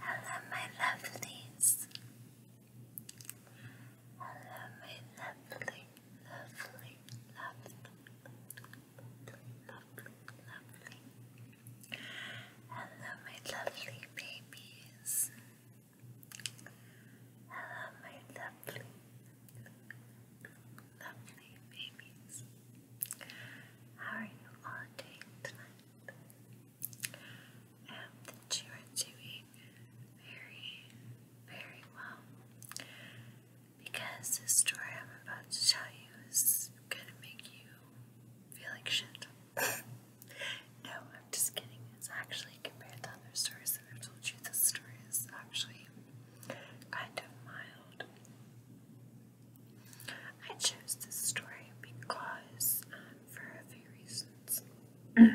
Hello, my lovelies. Hello, my lovely, lovely, lovely, lovely, lovely, lovely. Hello, my lovely babies. Hello, my lovely, lovely babies. How are you all doing I hope that you are doing very, very well because the story I'm about to tell you is gonna make you feel like shit. no, I'm just kidding. It's actually compared to other stories that I've told you, this story is actually kind of mild. I chose this story because, um, for a few reasons. One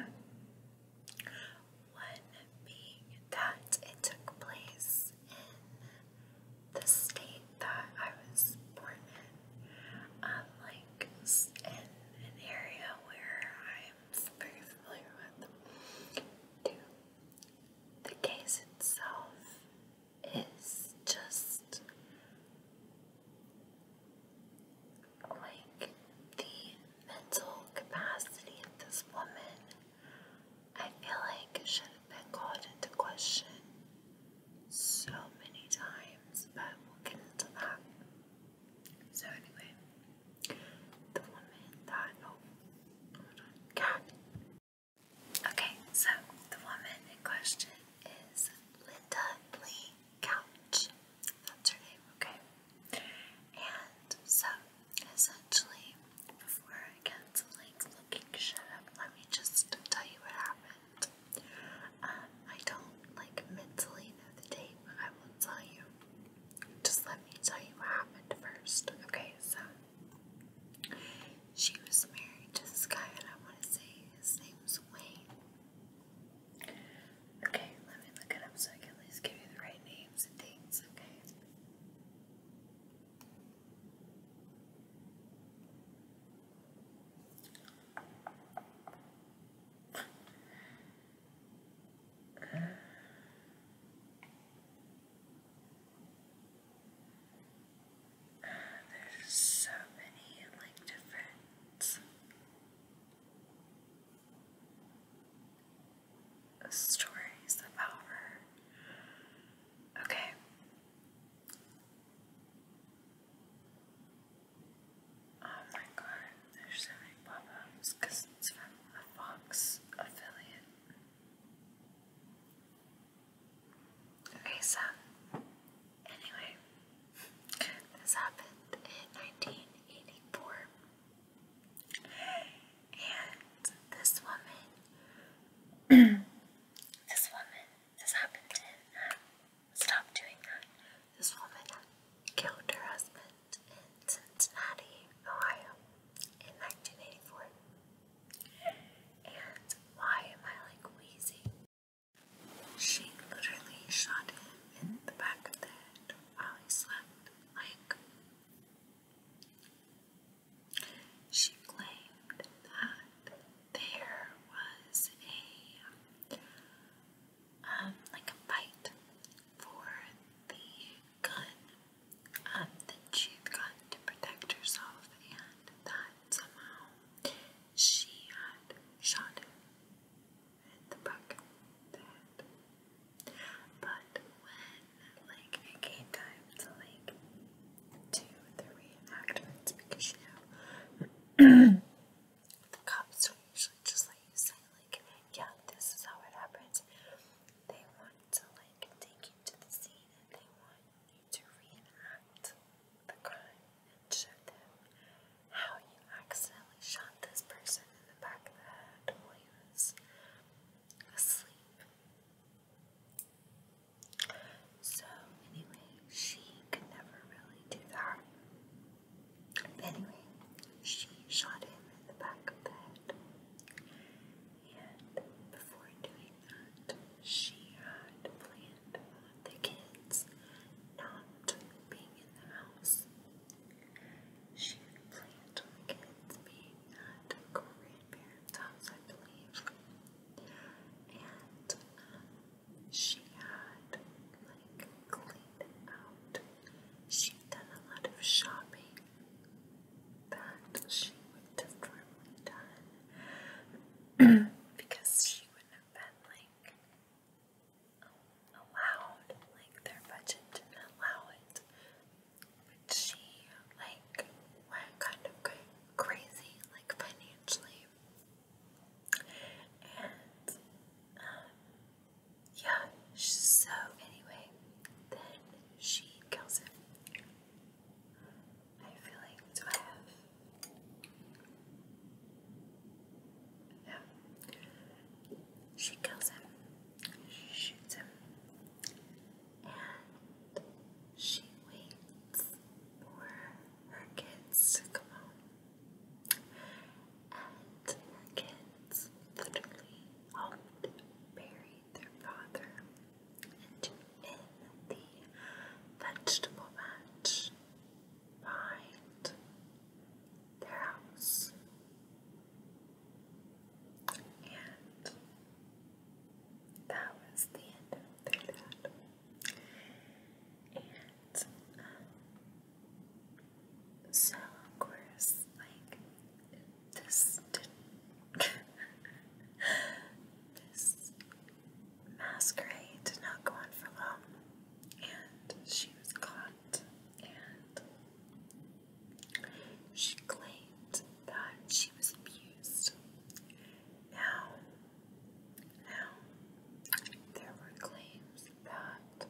being that it took place in the state that I was born in, um, in an area where I'm very familiar with. Two, the case itself is just like the mental capacity of this woman, I feel like should have been called into question so many times, but we'll get into that. So, anyway, the woman that, oh, hold on, Kat, Okay, so the woman in question is Linda Lee Couch. That's her name, okay? And so, essentially, before I get to like looking shit up, let me just tell you what happened. Um, I don't like mentally know the date, but I will tell you. Just let me tell you what happened first, okay? So, she was married to this guy, and I want to say his name was Wayne. Okay, let me look it up so I can at least give you the right names and things, okay? there's so many like different stories about her. Okay. Oh my god, there's so many pop ups because it's from a Fox affiliate. Okay, so anyway, this happened in 1984, and this woman, this woman, this happened in. Um, stop doing that. This woman killed her husband in Cincinnati, Ohio, in 1984. And why am I like wheezing? She literally shot him in the back of the head while he slept. Like, she claimed that there was a, um, like a fight for the gun, um, that she'd gotten to protect herself, and that somehow she had shot him in the back of the head. But when, like, it came time to, like, do the reenactments, because, you know, the cops are usually just like you say, like, yeah, this is how it happens. They want to, like, take you to the scene to reenact the crime and show them how you accidentally shot this person in the back of the head while he was asleep. So, anyway, she could never really do that. Anyway, she shot him in the back of the head. And before doing she had planned on the kids not being in the house. She had planned on the kids being at grandparents' house, I believe. And she had like cleaned out. She'd done a lot of shopping that she would have normally done because she wouldn't have been like allowed, like their budget didn't allow it. But she like went kind of crazy, like financially. And um, yeah, so anyway, then she kills him. I feel like do I have yeah. She kills him. She shoots him. And she waits for her kids to come home. And her kids literally helped bury their father and the vegetable patch behind their house. And that was the end of their dad. And um, so, of course, like, this didn't. this Masquerade did not go on for long, and she was caught, and she claimed that she was abused. Now, now, there were claims that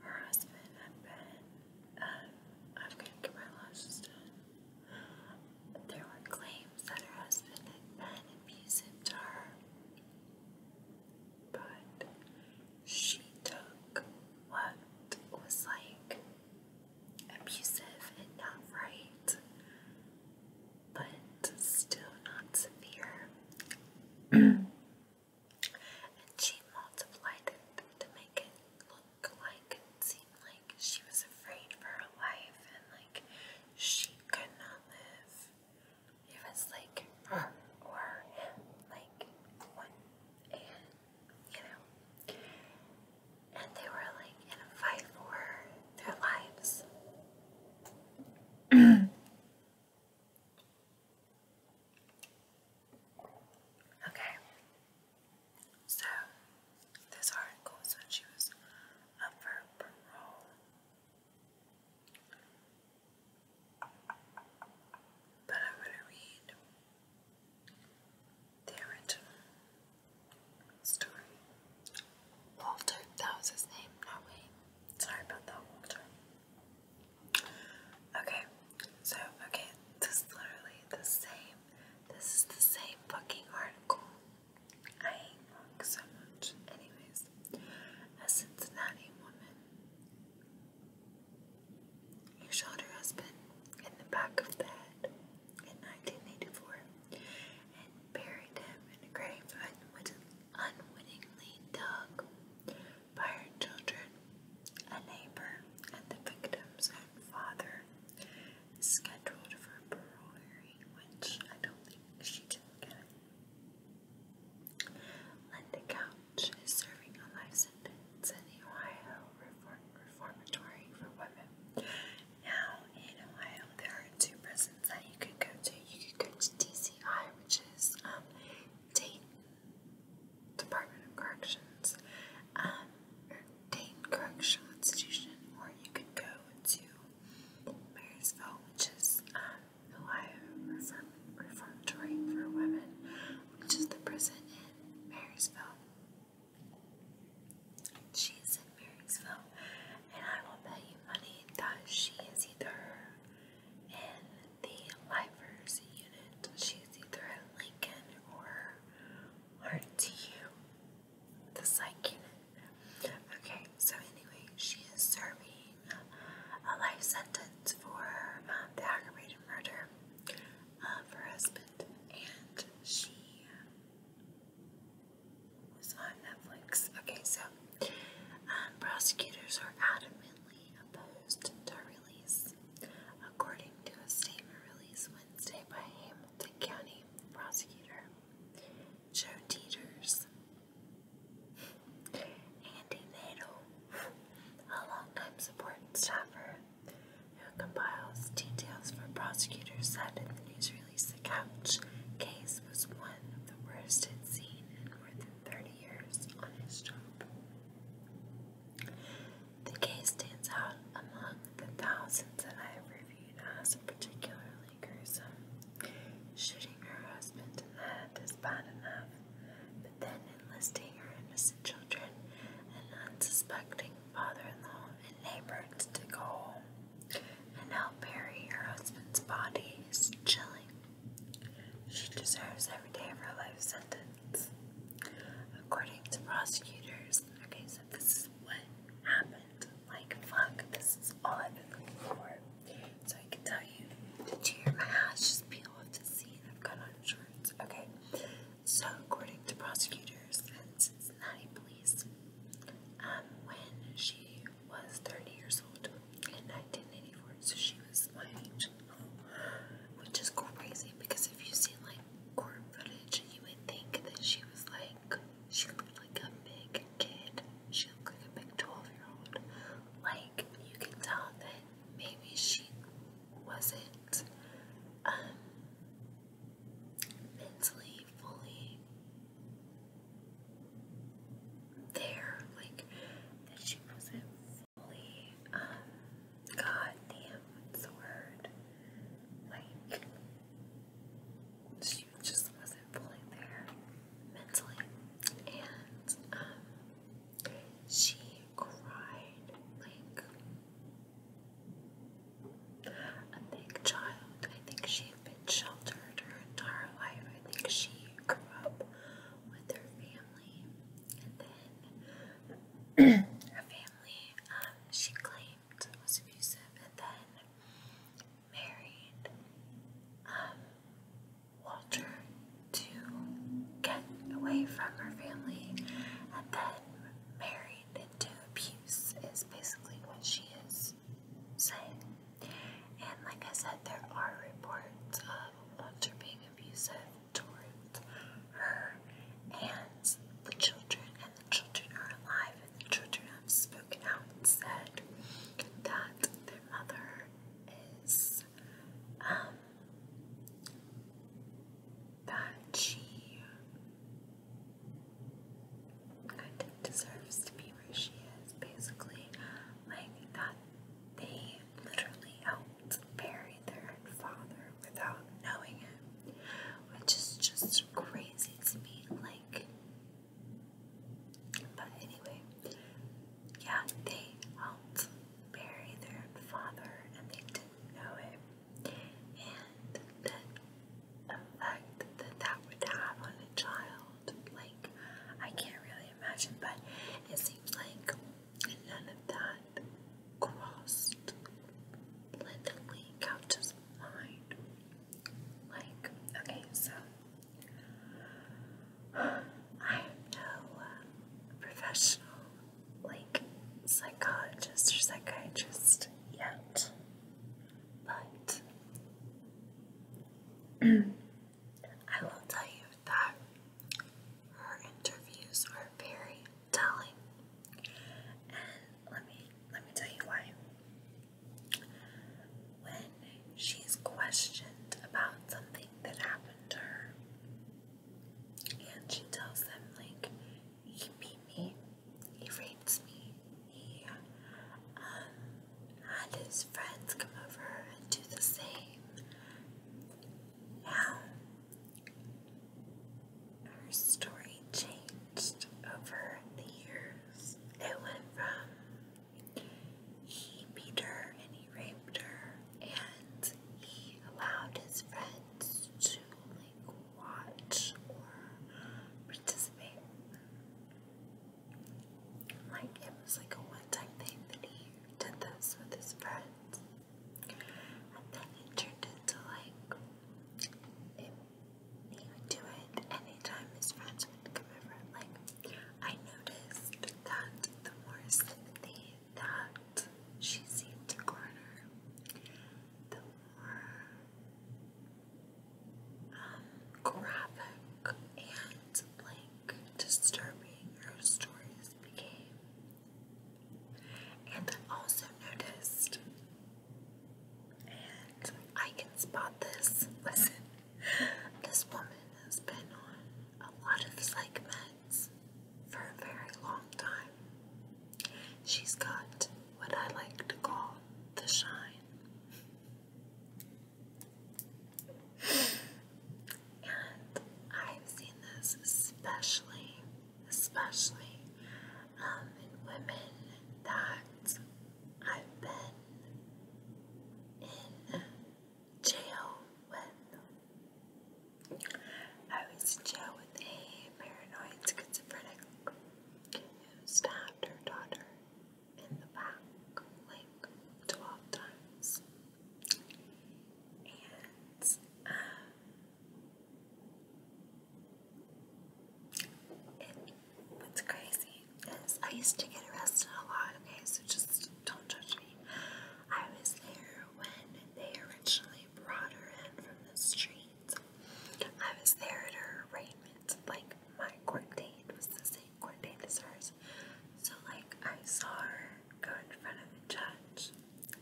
her husband had been. I've got to get my lashes done. There were claims that her husband had been abusive to her, but she took what was like abusive and not right, but still not severe. and she multiplied it to make it look like and seem like she was afraid for her life and like she could not live. It was like her or him, like one and you know. And they were like in a fight for their lives. okay. So this article said she was up for parole. But I'm going to read the original story. Walter, that was his name, not Wayne. Sorry about that, Walter. Okay, so, okay, this is literally the same. This is the same fucking article. I hate work so much. Anyways, a Cincinnati woman. shot her husband in the back of the head in 1984 and buried him in a grave unwitting, unwittingly dug by her children, a neighbor, and the victim's own father scheduled for parole which I don't think she did get. Linda Couch is serving a life sentence in the Ohio Reformatory for Women. Now, in Ohio, there are two prisons that you can go to. You can go to DCI, which is um, Dayton Department of Corrections, um, Dane Correctional Institution, or you can go to Marysville, which is um, Ohio Reform Reformatory for Women, which is the prison in Marysville. She is in Marysville, and I will bet you money that she is either in the Lifers unit, she is either in Lincoln or RTU the psych unit. Okay, so anyway, she is serving a life sentence for um, the aggravated murder of her husband, and she was on Netflix. Okay, so um, prosecutors are adamantly opposed to her release, according to a statement released Wednesday by Hamilton County prosecutor. Joe Teeters, Andy Nadel, a longtime support staffer who compiles details for prosecutors, said in the news release the couch case was one of the worst he'd seen in more than 30 years on his job. The case stands out among the thousands that I have reviewed as a particularly um, shooting her husband in the head is bad enough, but then enlisting her innocent children and unsuspecting father-in-law and neighbors to go home and help bury her husband's body is chilling. She deserves every day of her life sentence. According to prosecutors, okay, so this is what happened it. Like, fuck, this is all I've been looking for. So I can tell you to cheer my ass, just peel off the scene. I've got on shorts. Okay. So, according to prosecutors and Cincinnati police, um, when she was 30 years old in 1984, so she was my age, which is crazy because if you see like court footage, you would think that she was like she looked like a big kid. She looked like a big 12 year old. Like, you can tell that maybe she wasn't um, mentally fully there. Like, that she wasn't fully, um, goddamn, what's the word? Like, she just wasn't fully there mentally. And um, she cried like a big child. I think she had been sheltered her entire life. I think she grew up with her family and then her family um, she claimed was abusive and then married um, Walter to get away from her family and then married into abuse, is basically what she is saying. And like I said, there are reports of Walter being abusive towards her and the children and the children are alive, and the children have spoken out and said that their mother is, um, that she kind of deserves to be where she is, basically. Like, that they literally helped bury their father without knowing it, which is just crazy to me. Like, but anyway, yeah, they helped bury their father and they didn't know it. And the effect that that would have on a child, like, I can't really imagine, but it seems like none of that crossed Linda Couch's mind. Like, okay, so I am um, no professional, like, psychologist or psychiatrist yet, but I will tell you that her interviews are very telling, and let me let me tell you why when she's questioned about something that happened to her, and she tells them, like, he beat me, he raped me, he um, had his friends come over and do the same. Now, her story changed over the years. It went from he beat her and he raped her and he allowed his friends to like watch or participate. Like it was like a one-time thing that he did this with his friends. And then it turned into like he would do it anytime his friends would come over. Like, I noticed that the more sympathy that she seemed to garner, the more um, graphic and like disturbing her stories became. And I also noticed and I can spot this. Listen, this woman has been on a lot of psych meds for a very long time. She's got what I like to call the shine. And I've seen this especially, especially um, in women that I've been in jail with. I was in jail with a paranoid schizophrenic who stabbed her daughter in the back like 12 times. And uh, and crazy is I used to get arrested a lot, okay, so just don't judge me. I was there when they originally brought her in from the street. I was there at her arraignment. Like, my court date was the same court date as hers. So, like, I saw her go in front of the judge,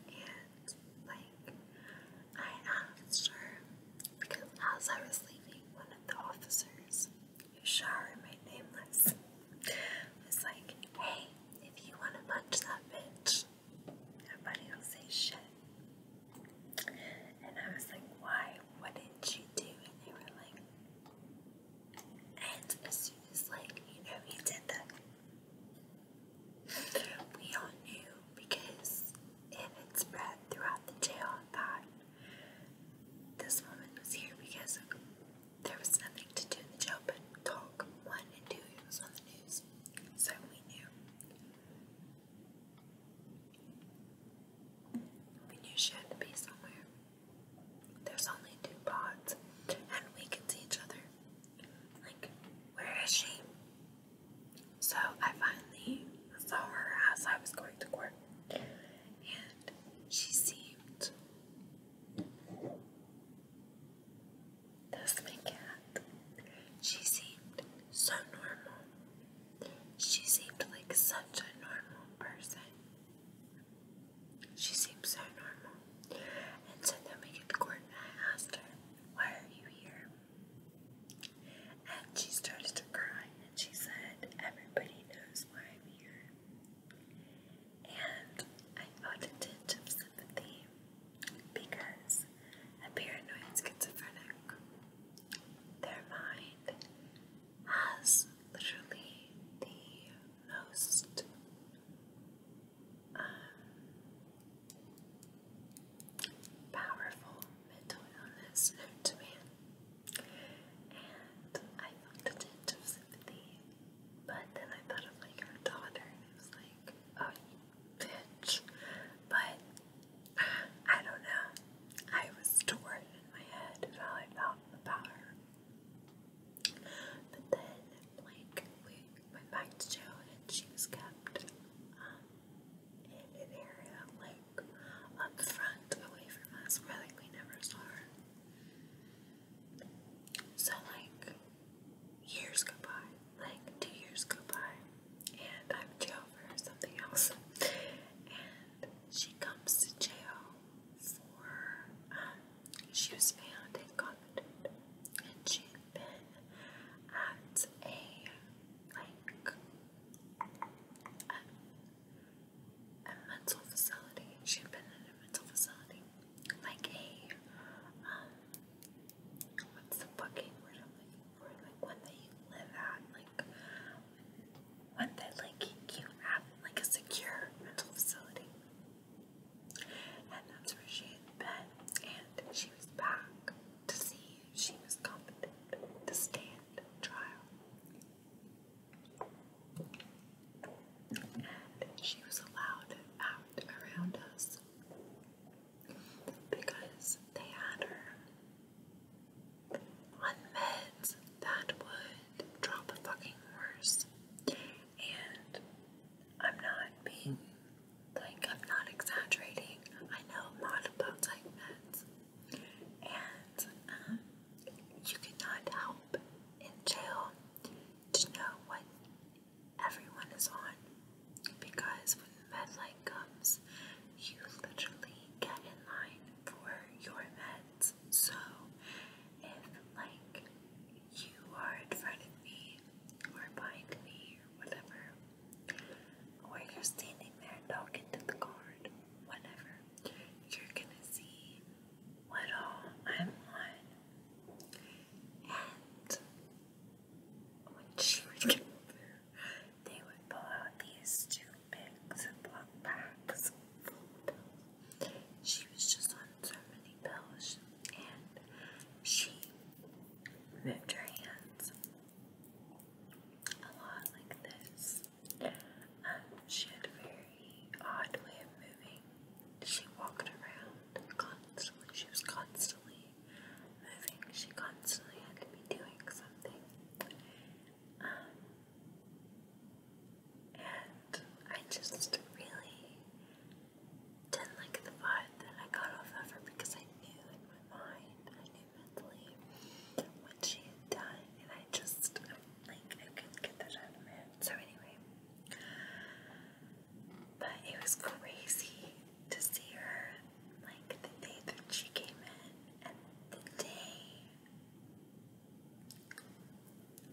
and, like, I asked her, because as I was leaving, when the officers, who shall remain nameless, was like, hey, if you want to punch that bitch, nobody will say shit. And I was like, why? What did you do? And they were like, and as soon as, like, you know, he did that, we all knew because and it spread throughout the jail Thought this woman was here because there was nothing to do in the jail but talk. One and two, was on the news, so we knew. We knew she had to be somewhere. There's only two pods, and we can see each other. Like, where is she? So I finally saw her as I was going to court, and she seemed that's my cat. She seemed so normal. She seemed like such a normal person. She seemed so normal. And so then we get to court and I asked her, Why are you here? And she starts to cry and she said, Everybody knows why I'm here. And I felt a tinge of sympathy because a paranoid schizophrenic, their mind has literally the most um, powerful mental illness hurt me, and I felt a tinge of sympathy. But then I thought of like her daughter, and it was like, oh, bitch. But I don't know. I was torn in my head of about her. But then, like, we went back to Joe, and she was kept um, in an area like up front away from us where like we never saw her. So like years go by, like two years go by, and I'm in jail for something else. And she comes to jail for um, she was found and Coventry, and she'd been at a like a, a mental facility. She had been in a mental facility, like a um, what's the fucking word I'm looking for? Like one that you live at, like one that like you have, like a secure mental facility. And that's where she had been, and she was back to see if she was competent to stand trial. And she was allowed out around us because they had her on meds that would drop the fucking worse. And I'm not being like, I'm not exaggerating. I know a about like meds and um, you cannot help in jail to know what everyone is on because when med light comes, you literally get in line for your meds. So if like you are in front of me or behind me or whatever, where you're standing there talking to the guard, whatever, you're gonna see what all I'm And when she would come through, they would pull out these two big Ziploc bags. She was just on so many pills, and she moved her hands a lot like this. Um, she had a very odd way of moving. She walked around constantly. She was constantly moving. She constantly had to be doing something. Um, and I just really didn't like the vibe that I got off of her because I knew in my mind, I knew what she had done, and I just like I couldn't get that out of my head. So anyway, but it was crazy to see her like the day that she came in, and the day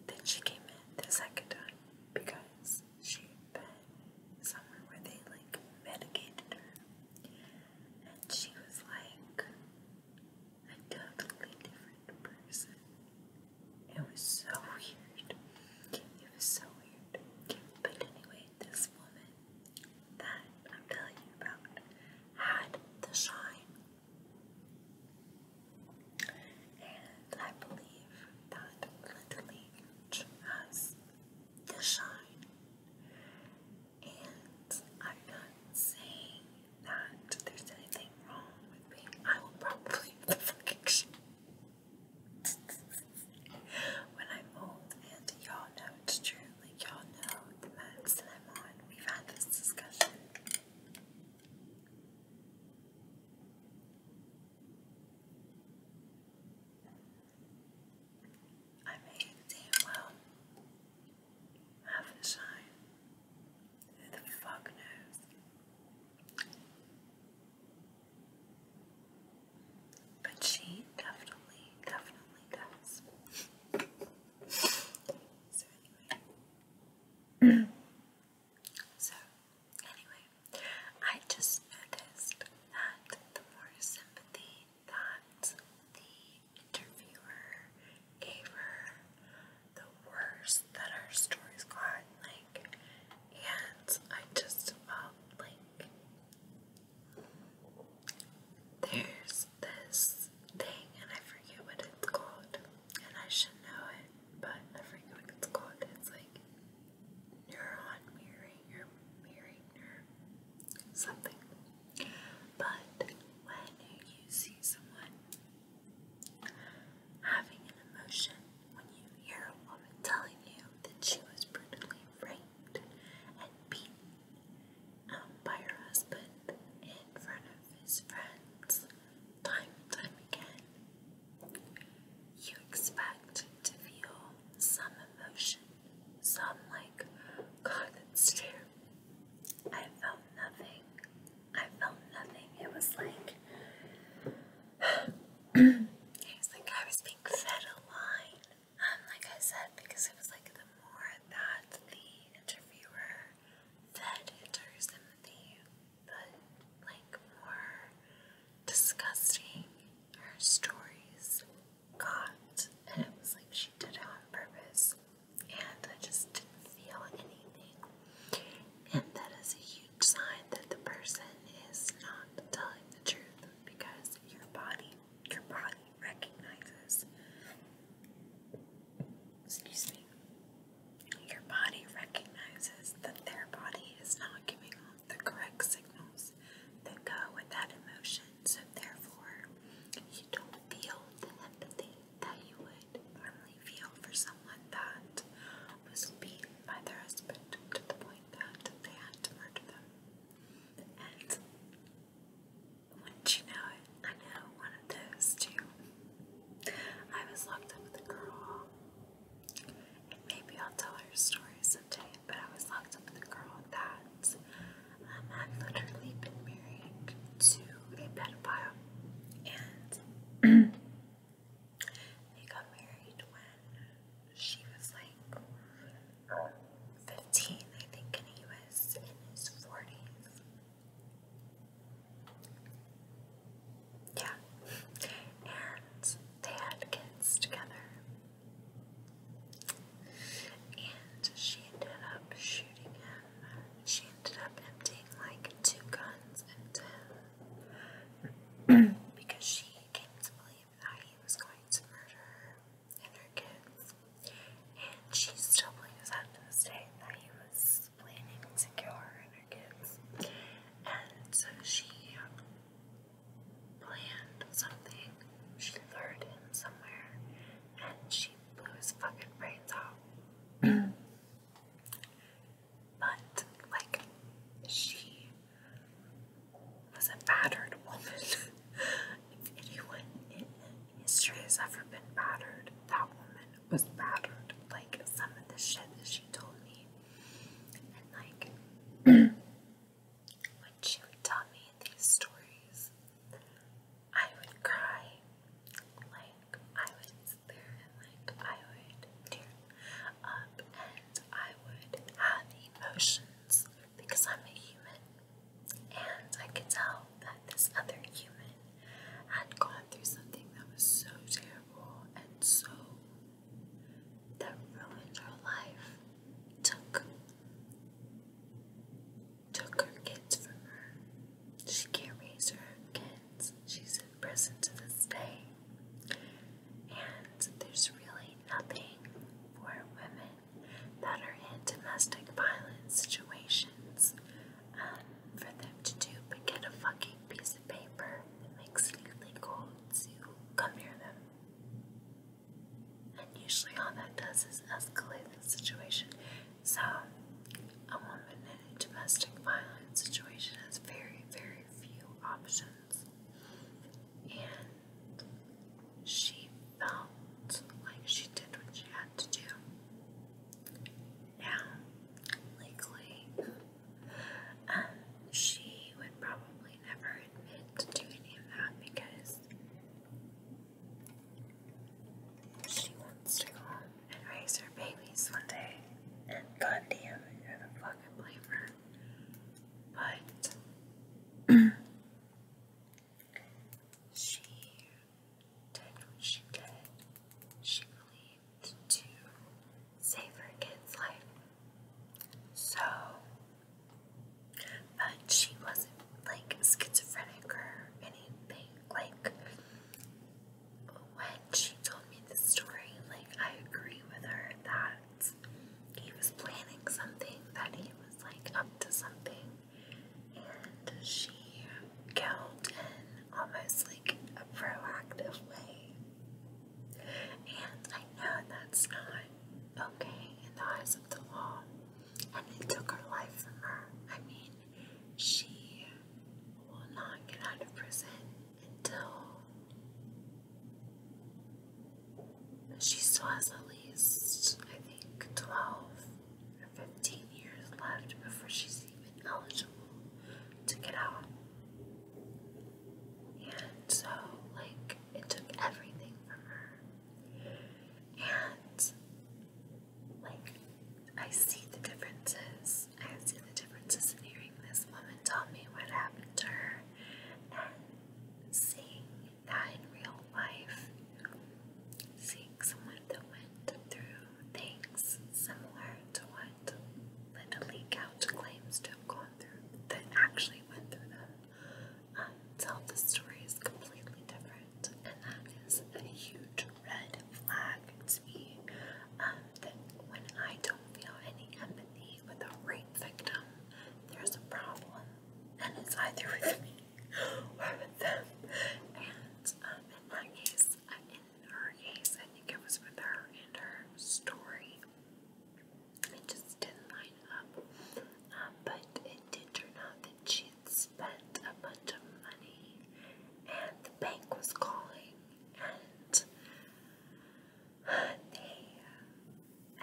that she came in the second time because she'd been somewhere where they like medicated her and she was like a totally different person. It was so weird. It was so weird. But anyway, this woman that I'm telling you about had the shine. And I believe that literally has the shine. And I'm not saying that there's anything wrong with me. I will probably the when I'm old, and y'all know it's true. Like y'all know the max that I'm on. We've had this discussion. I may damn well have a shine. Who the fuck knows? But she definitely, definitely does. so anyway. so anyway, I just noticed that the more sympathy that the interviewer gave her the worst that our stories got, like, and I just felt like there's this thing, and I forget what it's called, and I should know it, but I forget what it's called. It's like neuron mirroring mirroring nerve, something. But when you see someone having an emotion, when you hear a woman telling you that she was brutally raped and beaten by her husband in front of his friends time and time again, you expect to feel some emotion, some like, God, that's terrible. I felt nothing. I felt nothing. It was like it was like I was being fed a line. Um, like I said, because it was like the more that the interviewer fed enters them the the like more disgusting her stories got, and it was like she did it on purpose, and I just didn't feel anything. And that is a huge sign that the person is not telling the truth because your body, your body recognizes. Excuse me. Your body recognizes that their body is not giving off the correct signals that go with that emotion and so therefore you don't feel the empathy that you would normally feel for someone that was beaten by their husband to the point that they had to murder them. And wouldn't you know it, I know one of those too. I was locked up with a girl. And maybe I'll tell her stories someday, but I was locked up with a girl that I've literally been married to a pedophile, and they got married when she was like 15, I think, and he was in his 40s. Yeah, and they had kids together. And she ended up shooting him. She ended up emptying like two guns into because she came to believe that he was going to murder her and her kids. And she still believes that to this day that he was planning to kill her and her kids. And so she um, planned something. She lured him somewhere and she blew his fucking brains out. but, like, she was a battered woman. if anyone in history has ever been battered, that woman was battered. Like, some of the shit that she told me. And, like, when she would tell me these stories, I would cry, like I would sit like I would tear up and I would have emotions because I'm human. And I could tell that this other human had gone through something that was so terrible and so that ruined her life, took took her kids from her. She can't raise her kids. She's in prison to this day. And there's really nothing for women that are in domestic violence situations um, for them to do but get a fucking piece of paper that makes legally illegal to come near them. And usually all that does is escalate the situation. So, a woman in a domestic violence situation has very, very few options. And she felt like she did what she had to do. Now, legally, um, she would probably never admit to any of that because she wants to go home and raise her babies one day. And goddamn, I don't fucking blame her. But she did what she did. She believed to save her kid's life. So but she wasn't like schizophrenic or anything. Like when she told me the story, like I agree with her that he was planning something, that he was like up to something, and she killed in almost like a proactive way. And I know that's not okay in the eyes of the law and he took her life from her. I mean, she will not get out of prison until she still has at least, I think, 12 or 15 years left before she's even eligible to get out. And so, like, it took everything from her. And like I see the differences. I see the differences in hearing this woman tell me what happened to her and seeing that in real life. Seeing someone that went through things similar to what Linda Lee claims to have gone through that actually went through them tell the story is completely different, and that is a huge red flag to me. Um, that when I don't feel any empathy with a rape victim, there's a problem, and it's either with me or with them. And um, in my case, uh, in her case, I think it was with her and her story. It just didn't line up, um, but it did turn out that she's spent a bunch of money, and the bank was calling, and they,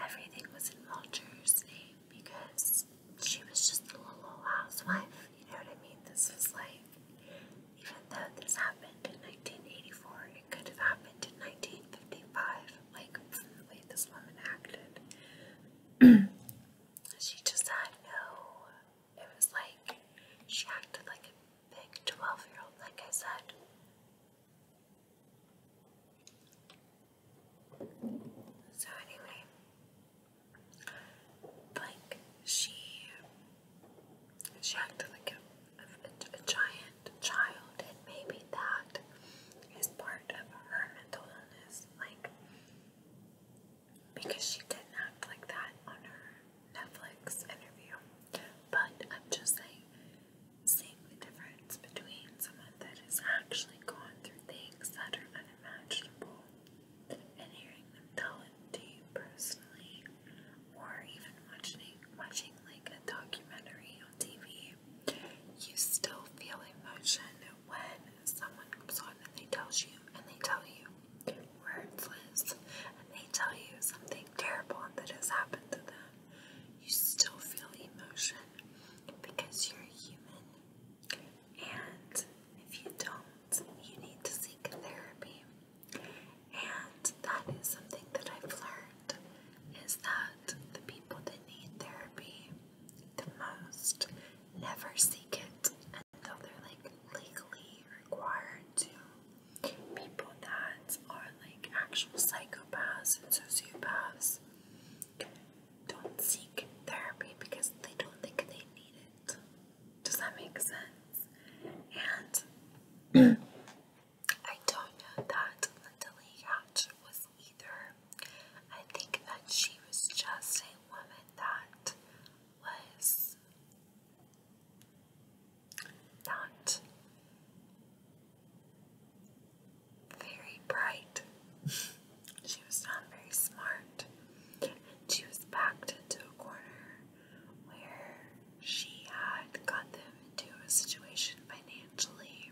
everything was in Mulcher's name because she was just a little housewife, you know what I mean? This was like, even though this happened in 1984, it could have happened in 1955, like, the way this woman acted. she just had no, it was like she acted like a big 12 year old, like I said. So, anyway, like she, she acted like a, a, giant child, and maybe that is part of her mental illness. Like, because she didn't act like that on her Netflix interview. But I'm just saying, seeing the difference between someone that has actually gone through things that are unimaginable and hearing them tell it to you personally, or even watching watching like a documentary on TV, you still feel emotion when someone comes on and they tells you and they tell you where it lives and they tell you something terrible that has happened to them, you still feel emotion because you're human. And if you don't, you need to seek therapy. And that is something that I've learned is that the people that need therapy the most never seek it, and they're like legally required to, people that are like actual psychopaths and sociopaths don't seek therapy because they don't think they need it. Does that make sense? And I don't know that the Lee Hatch was either her. I think that she was just a woman that was not very bright. she was not very smart. And she was backed into a corner where she had got them into a situation financially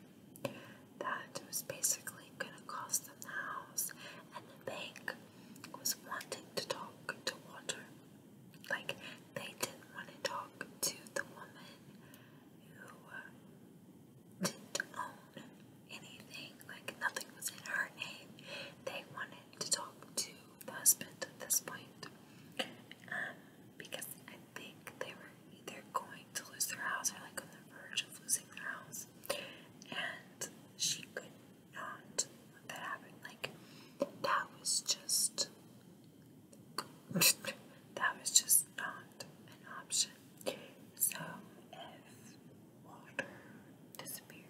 that was basically going to cost them the house, and the bank was wanting to talk to Walter. Like, they didn't want to talk to the woman who uh, didn't own anything, like, nothing was in her name. They wanted to talk to the husband at this point. Um, because I think they were either going to lose their house or like on the verge of losing their house and she could not let that happen. Like that was just that was just not an option. So if Walter disappeared,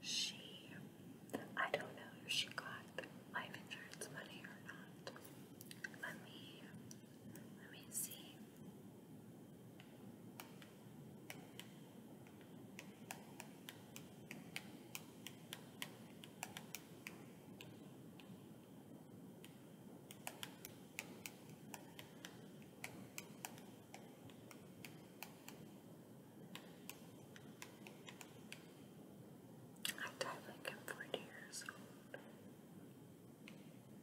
she I don't know if she got life insurance money or not. Let me let me see. I died like I'm 40 years old.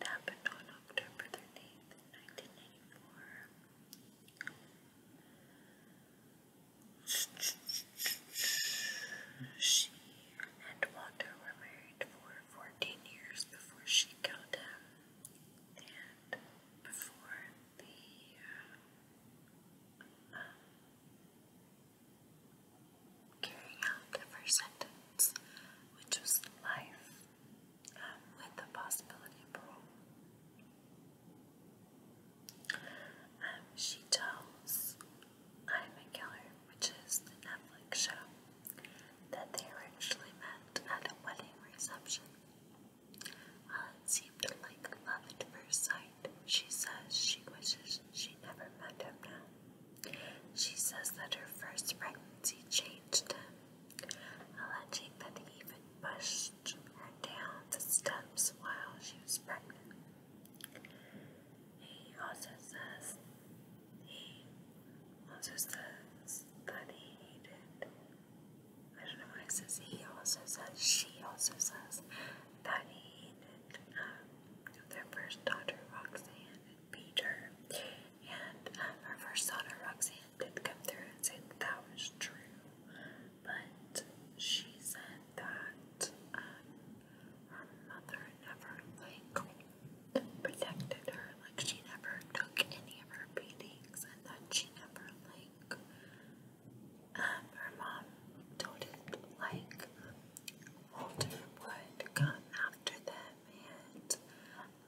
It happened on October 13th, She and Walter were married for 14 years before she killed him, and before the. Uh, carrying out the first sentence, which was life um, with the possibility of parole. Um, she tells I McKellar, which is the Netflix show, that they originally met at a wedding reception. While it seemed like love at first sight, she says she wishes she never met him now. She says that her first pregnancy changed him, alleging that he even pushed her down the steps while she was pregnant. He also says he also says that he hated I don't know why it says he also says she also says that he hated um, their first daughter Roxanne Peter. And her uh, first daughter, Roxanne, did come through and say that, was true, but she said that um, her mother never like protected her, like she never took any of her beatings, and that she never like um, her mom told it like Walter would come after them it.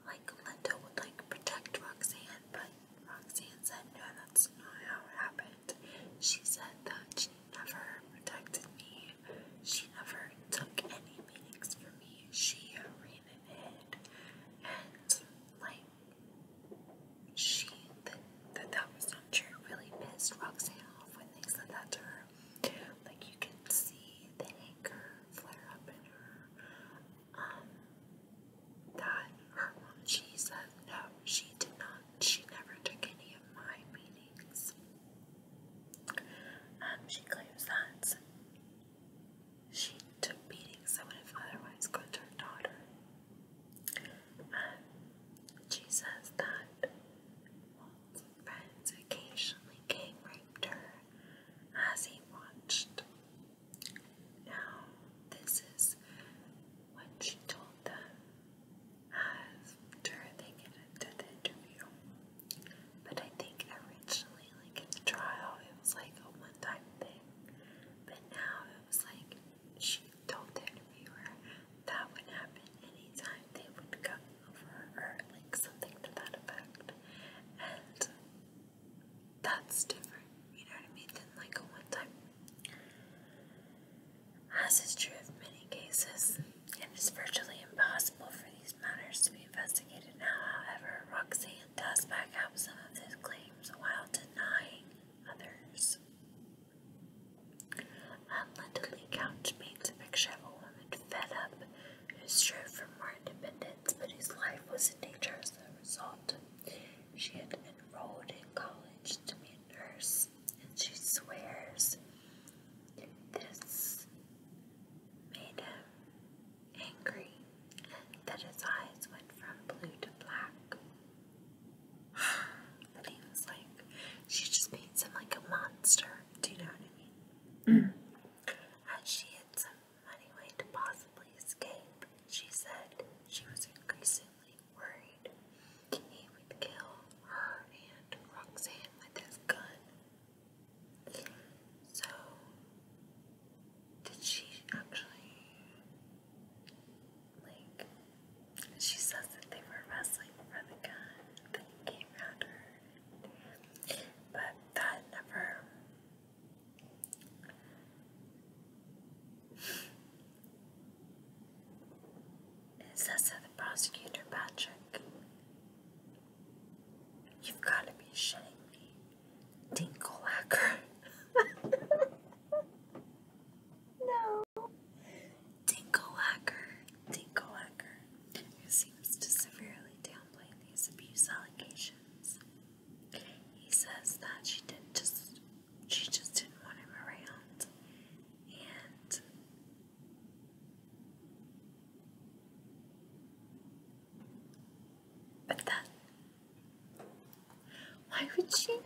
Like Linda would like protect Roxanne, but Roxanne said no, that's not how it happened. She said that she never protected me. She never took any meetings from me. She ran and hid, and like she that that, that was not true. Really pissed Roxanne off when they said that to her. Like you can see the anger flare up in her. Um, that her mom, she says, no, she did not. She never took any of my meetings. Um, she claims that she took meetings that would have otherwise gone to her daughter. Um, she says that friends occasionally gang raped her as he watched. Now, this is what she told them after they get into the interview. But I think originally, like at the trial, it was like a one time thing. But now it was like she told the interviewer that would happen anytime they would come over, or like something to that effect. And that's different, you know what I mean, than like a one time. As is true of many cases, it is virtually impossible for these matters to be investigated now. However, Roxanne does back up some of his claims while denying others. Unlindely Couch paints a picture woman fed up who strove for more independence, but whose life was in danger as a result. She had enrolled in college to be a nurse, and she swears this made him angry, and that his eyes went from blue to black. but he was like, she just paints him like a monster. Do you know what I mean? As she had some money way to possibly escape, she said she was increasingly worried. He would kill her and Roxanne with his gun. So, did she actually, like, she says that they were wrestling for the gun that he came her. But that never Is the prosecutor, Patrick? You've gotta be shitting me. Dinklehacker. no. Dinklehacker. Dinklehacker who seems to severely downplay these abuse allegations. He says that she didn't just she just didn't want him around and but that why would she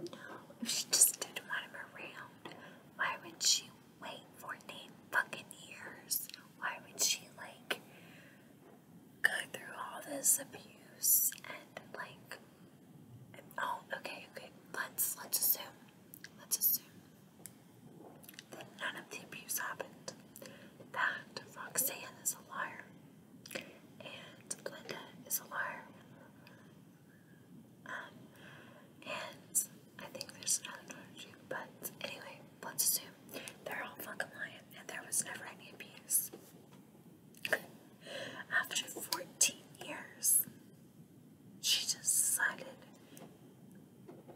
no if she just didn't want him around why would she wait for fucking years. Why would she like go through all this abuse and like oh okay okay let's let's assume let's assume that none of the abuse happened that Roxanne is a liar and Linda is a liar um and I think there's another Nordic, but anyway, let's assume they're all fucking lying and there was never any abuse. After 14 years, she just decided,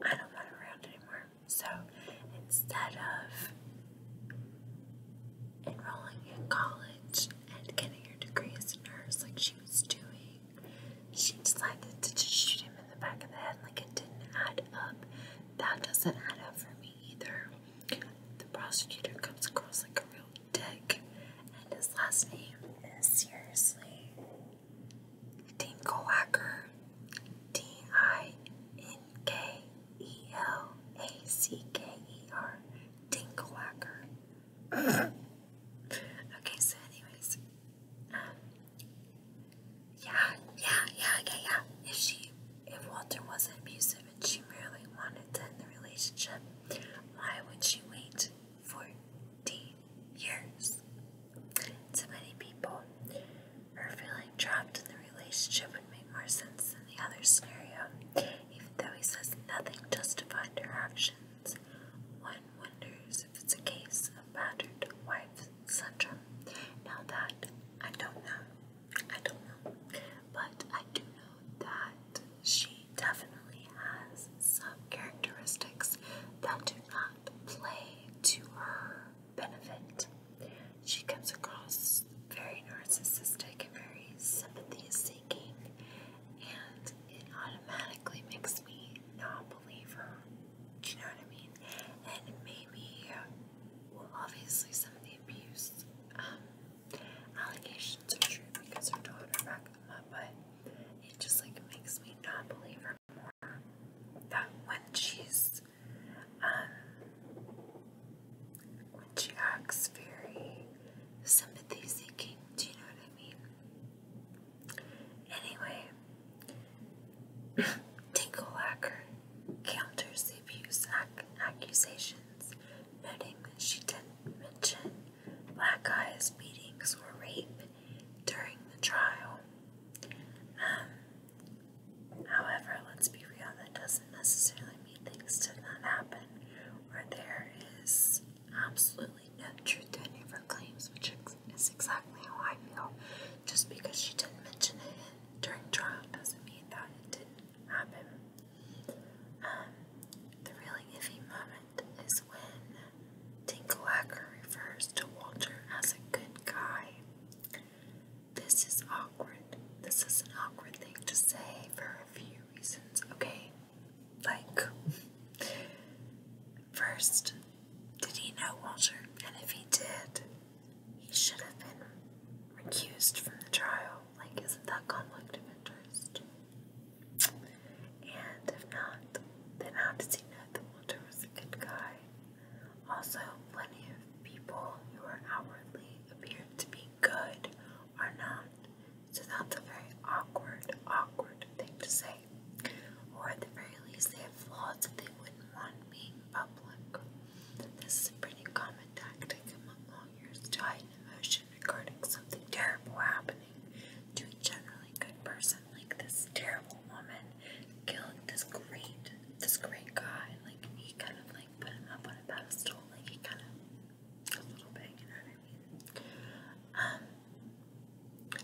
I don't want around anymore. So instead of enrolling in college and getting her degrees in nurse like she was doing, she decided to just shoot him in the back of the head like it didn't add up. That doesn't add up for me either. The prosecutor comes across like a real dick, and his last name is seriously Dinkelhacker. D I N K E L A C K E R. Dinkelhacker. okay, so, anyways, um, yeah, yeah, yeah, yeah, yeah. If she, if Walter wasn't abusive and she merely wanted to end the relationship, why would she wait 14 years? To many people, her feeling trapped in the relationship would make more sense than the other scenario. Even though he says nothing justified her actions, one one wonders if it's a case of battered wife syndrome. Now that I don't know, I don't know, but I do know that she definitely has some characteristics that do not play to her benefit. She comes across very narcissistic and very sympathy seeking, and it automatically makes me not believe her. Do you know what I mean? And maybe, well, obviously, some of the abuse um, allegations are true because her daughter backed them up, but it just like makes me not believe her more. That when she's, um, when she acts very sympathy seeking, do you know what I mean? Anyway, Tinklacker counters the abuse accusations, noting that she didn't mention Black Eye's beatings or rape during the trial. Um, however, let's be real, that doesn't necessarily mean things did not happen, or there is absolutely no truth to any claims, which is exactly how I feel. Just because she didn't mention it during trial doesn't mean that it didn't happen. Um, the really iffy moment is when Tinklehacker refers to Walter as a good guy. This is awkward. This is an awkward thing to say for a few reasons, okay? Like, first, did he know Walter? And if he did, he should have been recused from the trial. Like, isn't that conflict of interest? And if not, then how does he know that Walter was a good guy? Also, plenty of people who are outwardly appear to be good are not. So that's a very awkward, awkward thing to say way. Or at the very least, they have flaws that they wouldn't want being public. This is a pretty common tactic among lawyers to hide an emotion regarding something terrible happening to a generally good person, like this terrible woman killed this great, this great guy. Like he kind of like put him up on a pedestal, like he kind of a little bit, you know what I mean? Um,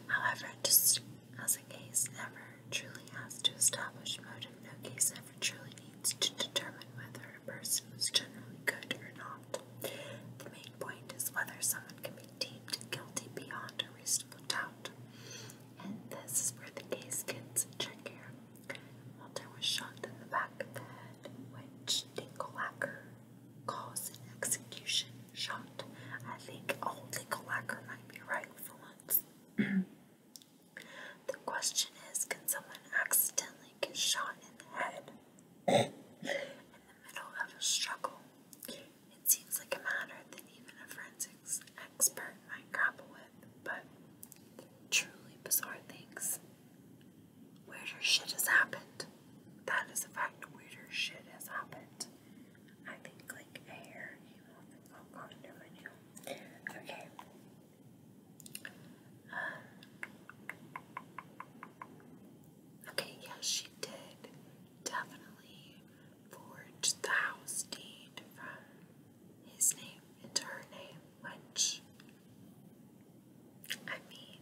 However, just as a case never truly has to establish motive, no case ever truly needs to determine whether a person was generally good or not. The main point is whether someone can be deemed guilty beyond a reasonable doubt. And this is where the case gets trickier. Walter was shot in the back of the head, which Dinkelacker calls an execution shot. I think old Nicolacker might be right for once. the question is, can someone accidentally get shot in the head in the middle of a struggle? It seems like a matter that even a forensics expert might grapple with, but truly bizarre things. Weirder shit has happened. That is a fact. Weirder shit has happened. I can click hair. He won't I'll my nail. Okay. Um, okay, yeah, she did definitely forge the house deed from his name into her name, which I mean,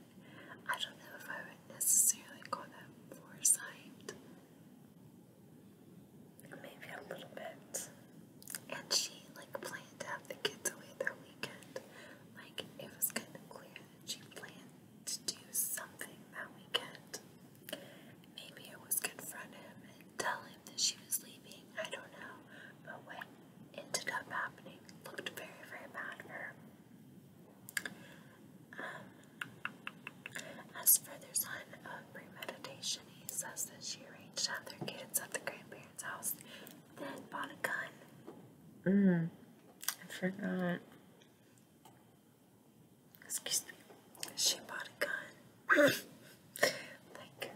I don't know if I would necessarily call that foresight maybe a little bit. And she like planned to have the kids away that weekend. Like it was kind of clear that she planned to do something that weekend. Maybe it was confront him and tell him that she was leaving. I don't know. But what ended up happening looked very, very bad for her. Um, as further sign of premeditation, he says that she arranged to have their kids at the grandparents' house, then bought a gun. Mm, I forgot. Excuse me. She bought a gun. like,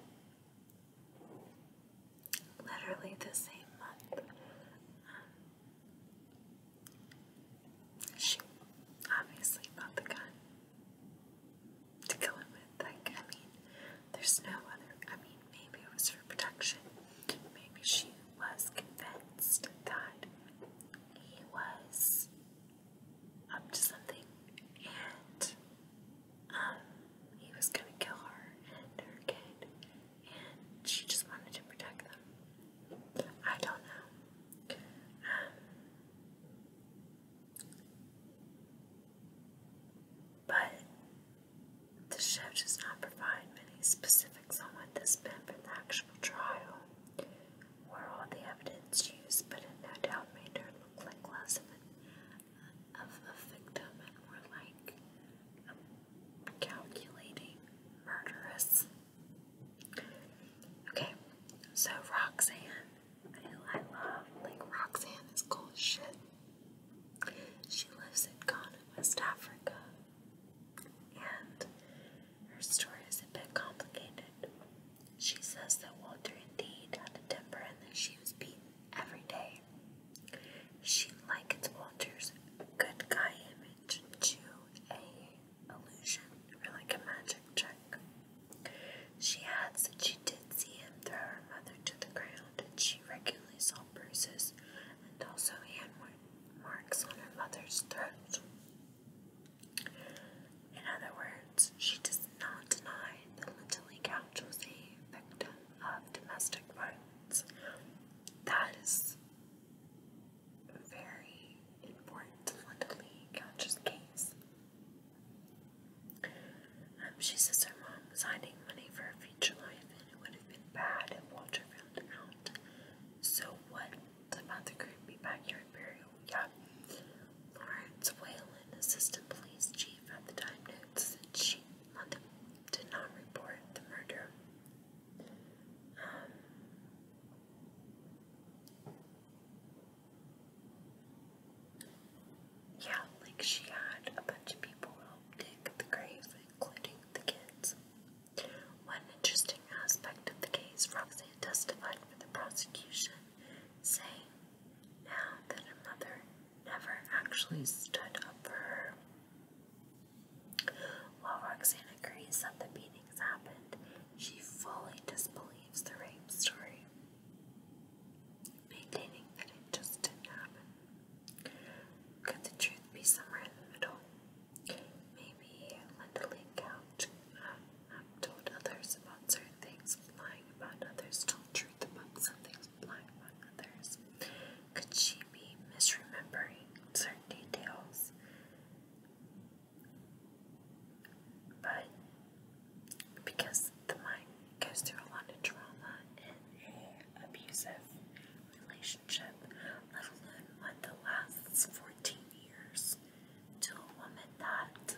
literally the same month. Um, she obviously bought the gun to kill him with. Like, I mean, there's no other. I mean, maybe it was for protection. Maybe she was convinced that he was up to something and um, he was gonna kill her and her kid, and she just wanted to protect them. I don't know. Um, but the show does not provide many specifics on what this meant for the actual trial or all the evidence used, but it no doubt made her look like less of, of a victim and more like a calculating murderess. Okay, so Roxanne. I, love, like, Roxanne is cool as shit. She lives in Ghana, West Africa, and her story is a bit complicated. She says that Walter indeed had a temper and that she was beaten every day. She likens Walter's good guy image to a illusion or like a magic trick. She adds that she did see him throw her mother to the ground, and she regularly saw bruises and also hand marks on her mother's throat. In other words, she does not deny that Lindley Couch was a victim of domestic violence. That is very important politically conscious case. Um, she says her mom was hiding money for her future life and it would have been bad if Walter found out. So what about the creepy backyard burial? Yeah. Lawrence Whalen, assistant police chief at the time, notes that she did not report the murder. Um, yeah, like she had a bunch of people dig the graves, including the kids. One interesting aspect of the case, Roxanne testified for the prosecution, saying now that her mother never actually stood up for her. While Roxanne agrees that the beating things happened, she fully disbelieves the rape story, maintaining that it just didn't happen. Could the truth be somewhere in the middle? Maybe Linda Lee Couch uh, um, told others about certain things, lying about others, told truth about some lying about others. Could she be misremembering certain details? But because the mind goes through a lot of trauma in a abusive relationship, let alone what the last 14 years, to a woman that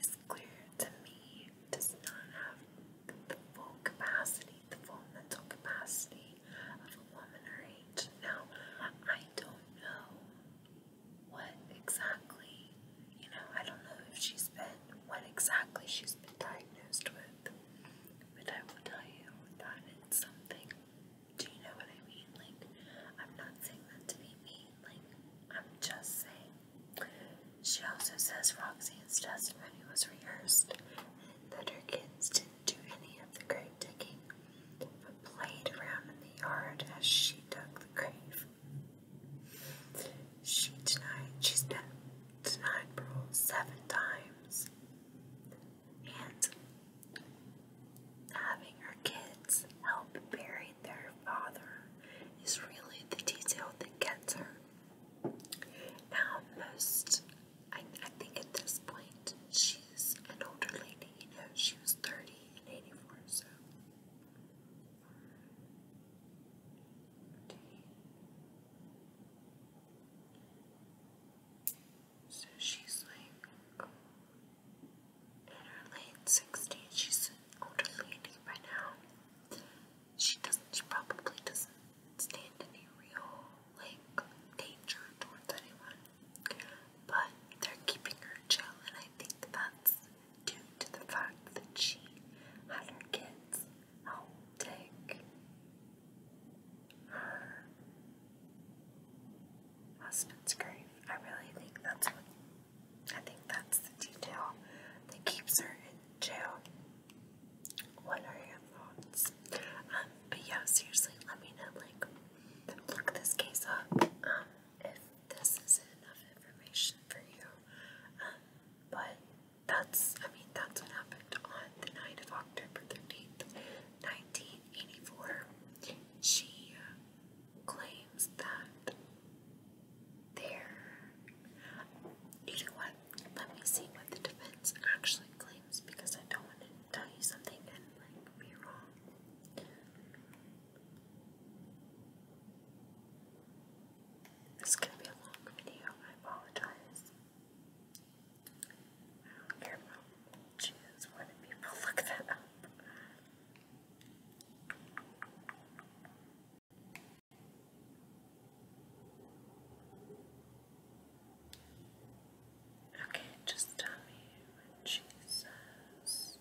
is clear to me does not have the full capacity, the full mental capacity of a woman her age. Now, I don't know what exactly, you know, I don't know if she's been, what exactly she's been diagnosed with, but I will tell you that it's something. Do you know what I mean? Like, I'm not saying that to be mean, like, I'm just saying. She also says Roxanne's testimony was rehearsed and that her kids didn't do any of the great digging, played around in the yard as she dug the grave. She denied she's been denied seven times, and having her kids help bury their father is really the detail that gets her. Now, most, I think at this point, she's an older lady, you know, she was 30 1984, so. So she's like in her late 60s. She's an older lady by now. She doesn't, she probably doesn't stand any real like danger towards anyone. But they're keeping her in jail, and I think that's due to the fact that she had her kids take her husband's grave. I really think that's what I think that's the detail that keeps her in jail. What are your thoughts? Um, but yeah, seriously, let me know like look this case up um, if this isn't enough information for you. Um, but that's, I mean, that's what happened on the night of October 13th, 1984. She uh, claims that there. You know what? Let me see what the defense actually claims because I don't want to tell you something like be wrong. This be a long video, I apologize. I don't care about choose when people look that up. Okay, just tell me what she says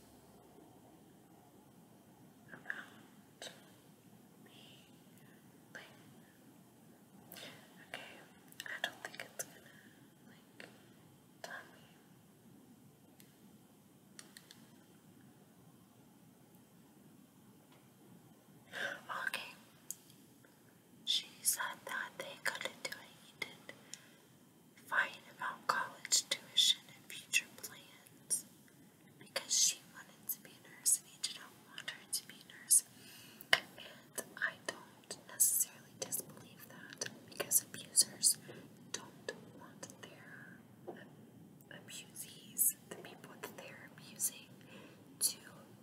about me like Okay, I don't think it's gonna like tell me. Okay. She said that they couldn't do it. He did fighting about college tuition and future plans because she wanted to be a nurse and he didn't want her to be a nurse. And I don't necessarily disbelieve that because abusers don't want their abusees, the people that they're abusing, to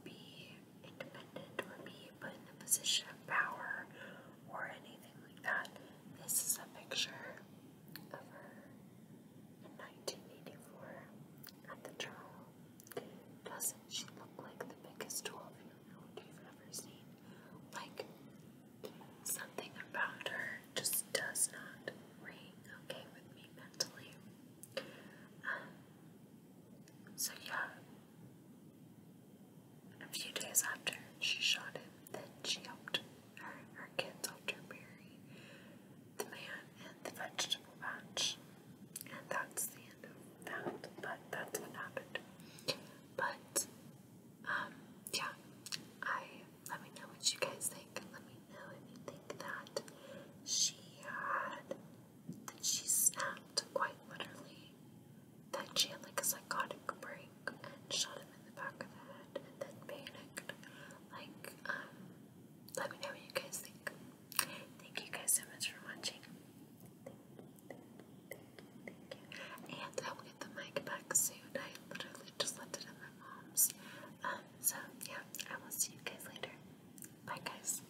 be independent or be put in a position of power or anything like that. This is a picture of her in 1984 at the trial. Doesn't she look like the biggest 12 year old you've ever seen? Like, something about her just does not ring okay with me mentally. Um, so, yeah, a few days after, she shot him. Then she helped her, her kids helped her bury the man and the vegetable patch. And that's the end of that. But that's what happened. But, um, yeah. I, let me know what you guys think. Let me know if you think that she had, that she snapped quite literally. That she had like a psychotic break and shot him in the back of the head and then panicked. Like, um, let me know what you guys think. Thank you guys so much for watching. Thank you, thank you, thank you, And I will get the mic back soon. I literally just left it at my mom's. Um, so yeah, I will see you guys later. Bye guys.